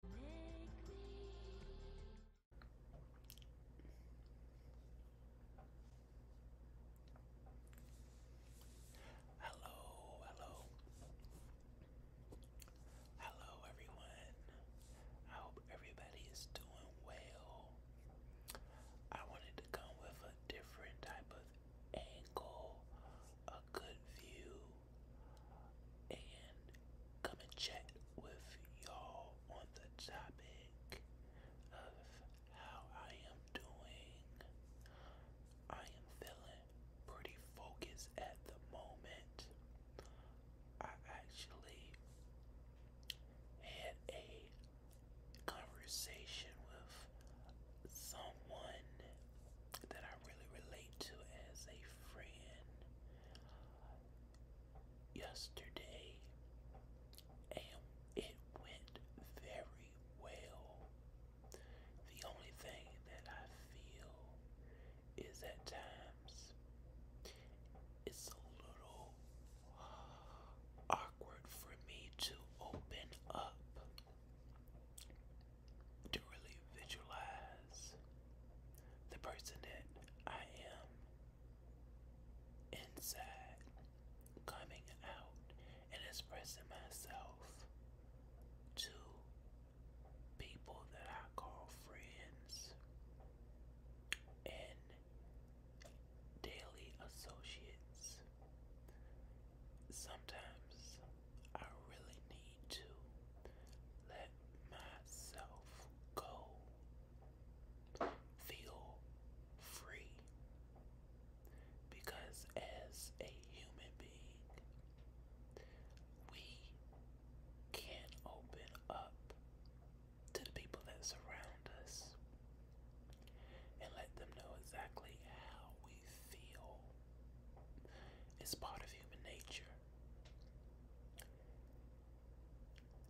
Hello, hello. Hello, everyone. I hope everybody is doing well. I wanted to come with a different type of angle, a good view, and come and chat with y'all on the topic of how I am doing. I am feeling pretty focused at the moment. I actually had a conversation with someone that I really relate to as a friend yesterday, and it went very well. The only thing that I feel is at times it's a little awkward for me to open up to really visualize the person that I am inside, coming out and expressing myself to people that I call friends and daily associates sometimes I really need to let myself go. Feel free. Because as a human being, we can not open up to the people that surround us and let them know exactly how we feel it's part of human nature.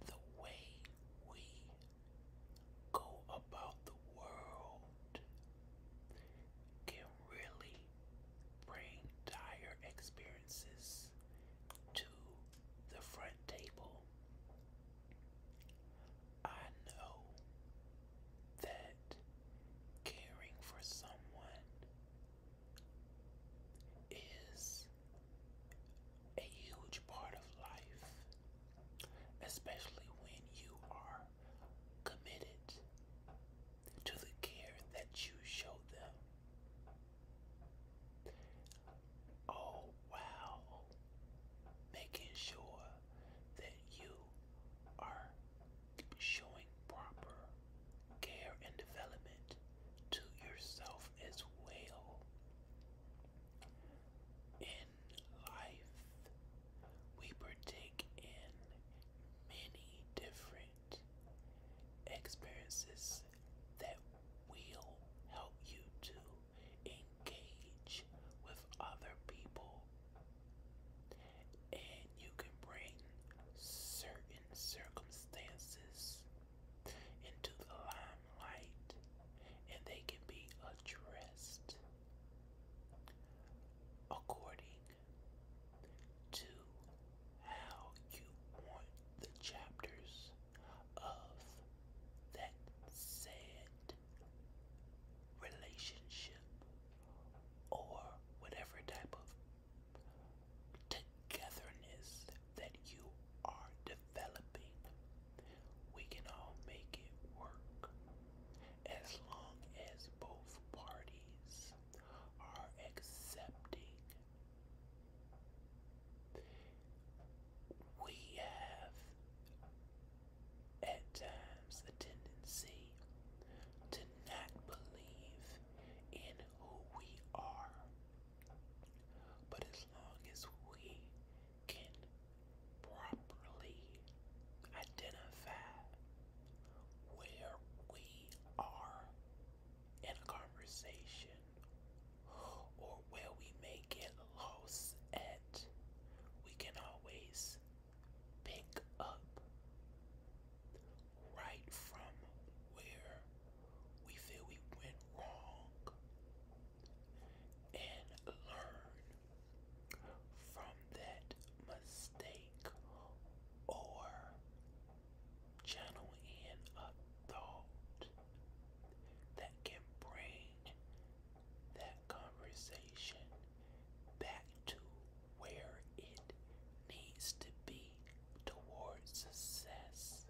The way we go about the world can really bring dire experiences to the front table. I know that caring for someone is a huge part of life, especially when you are committed to the care that you show them. Oh, wow making sure that you are showing proper care and development to yourself as well. In life, we partake in many different experiences that will help you to engage with other people, and you can bring certain circumstances into the limelight and they can be addressed according to how you want the chapters of that said relationship or whatever type of togetherness that you are developing. We can all make it work as long as both parties are accepting we have at times a tendency to not believe in who we are. But as long as we can properly identify where we are in a conversation or where we may get lost at, we can always pick up right from where we feel we went wrong and learn from that mistake or channel in a thought that can bring that conversation back to where it needs to be towards success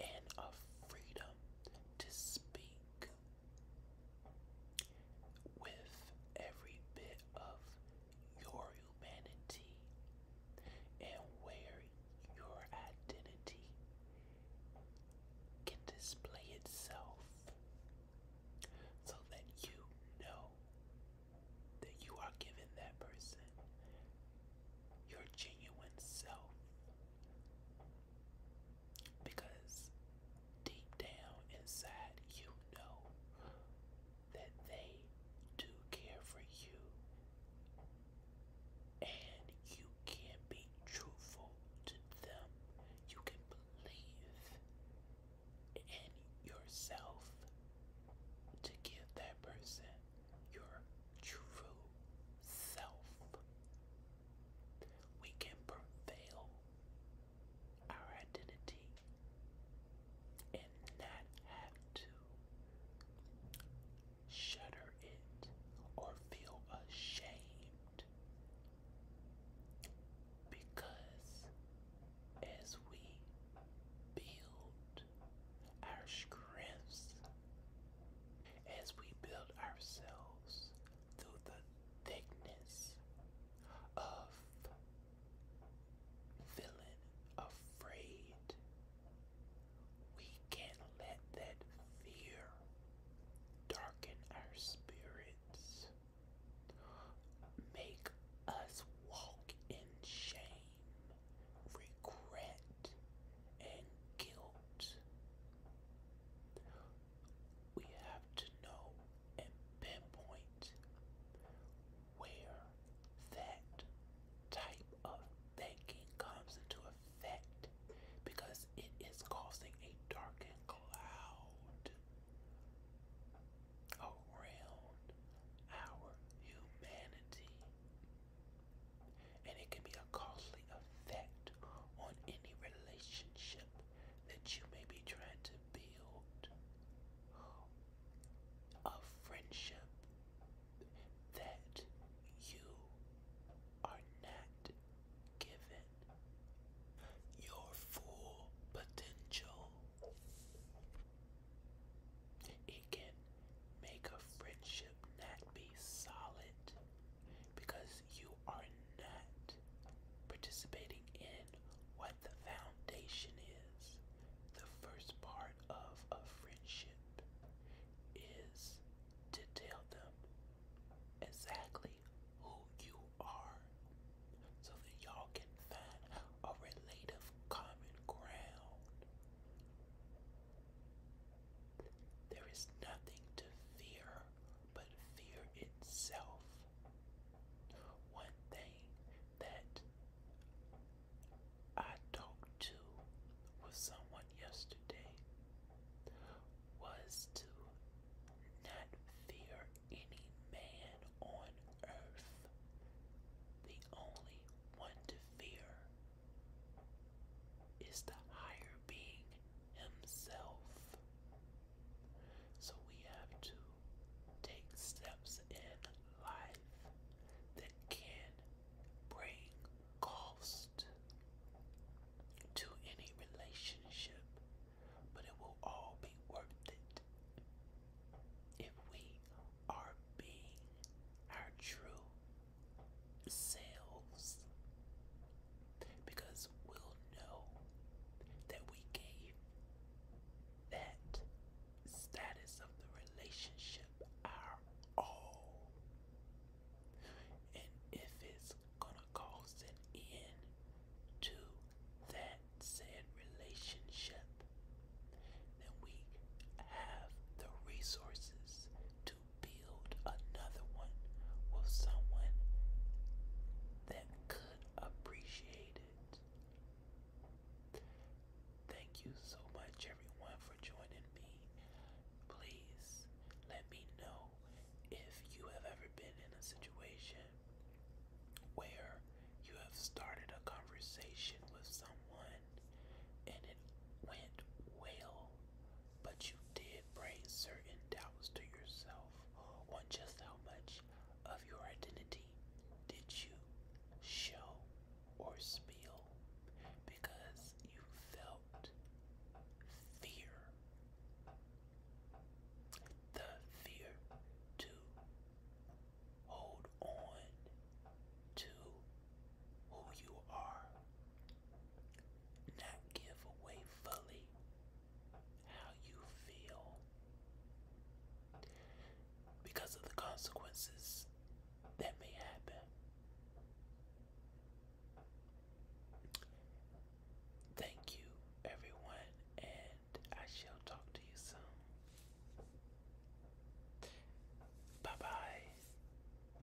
and a freedom to speak with every bit of your humanity and where your identity can display itself so that you know that you are giving that person your genuine self. Because deep down inside, you know that they do care for you and you can be truthful to them. You can believe in yourself to give that person your true self. We can prevail our identity and not have to shudder it or feel ashamed because as we build our strengths, as we build ourselves through the thickness of feeling afraid. We can't let that fear darken our spirits, make us walk in shame, regret, and guilt. We have to know and pinpoint where that type of thinking comes into effect because it is causing a darkened cloud around our humanity. And it can be a costly effect on any relationship that you may be trying to build a friendship that you are not given your full potential. It can make a friendship not be solid because you are not participating in what the foundation is. The first part of a friendship is to tell them exactly who you are so that y'all can find a relative common ground. There is nothing to fear but fear itself. One thing that I talked to with someone yesterday was to not fear any man on earth. The only one to fear is the higher being himself. So we have to take steps in life that can bring cost to any relationship, but it will all be worth it if we are being our true selves. Because will know that we gave that status of the relationship our all. And if it's gonna cause an end to that said relationship, then we have the resources to build another one with someone that could appreciate it. Thank you so much, everyone, for joining me. Please let me know if you have ever been in a situation where you have started a conversation with someone and it went well but you did bring certain doubts to yourself on just how much of your identity did you show or spill because you felt fear. The fear to hold on to who you are not give away fully how you feel because of the consequences that may happen. Thank you, everyone, and I shall talk to you soon. Bye bye.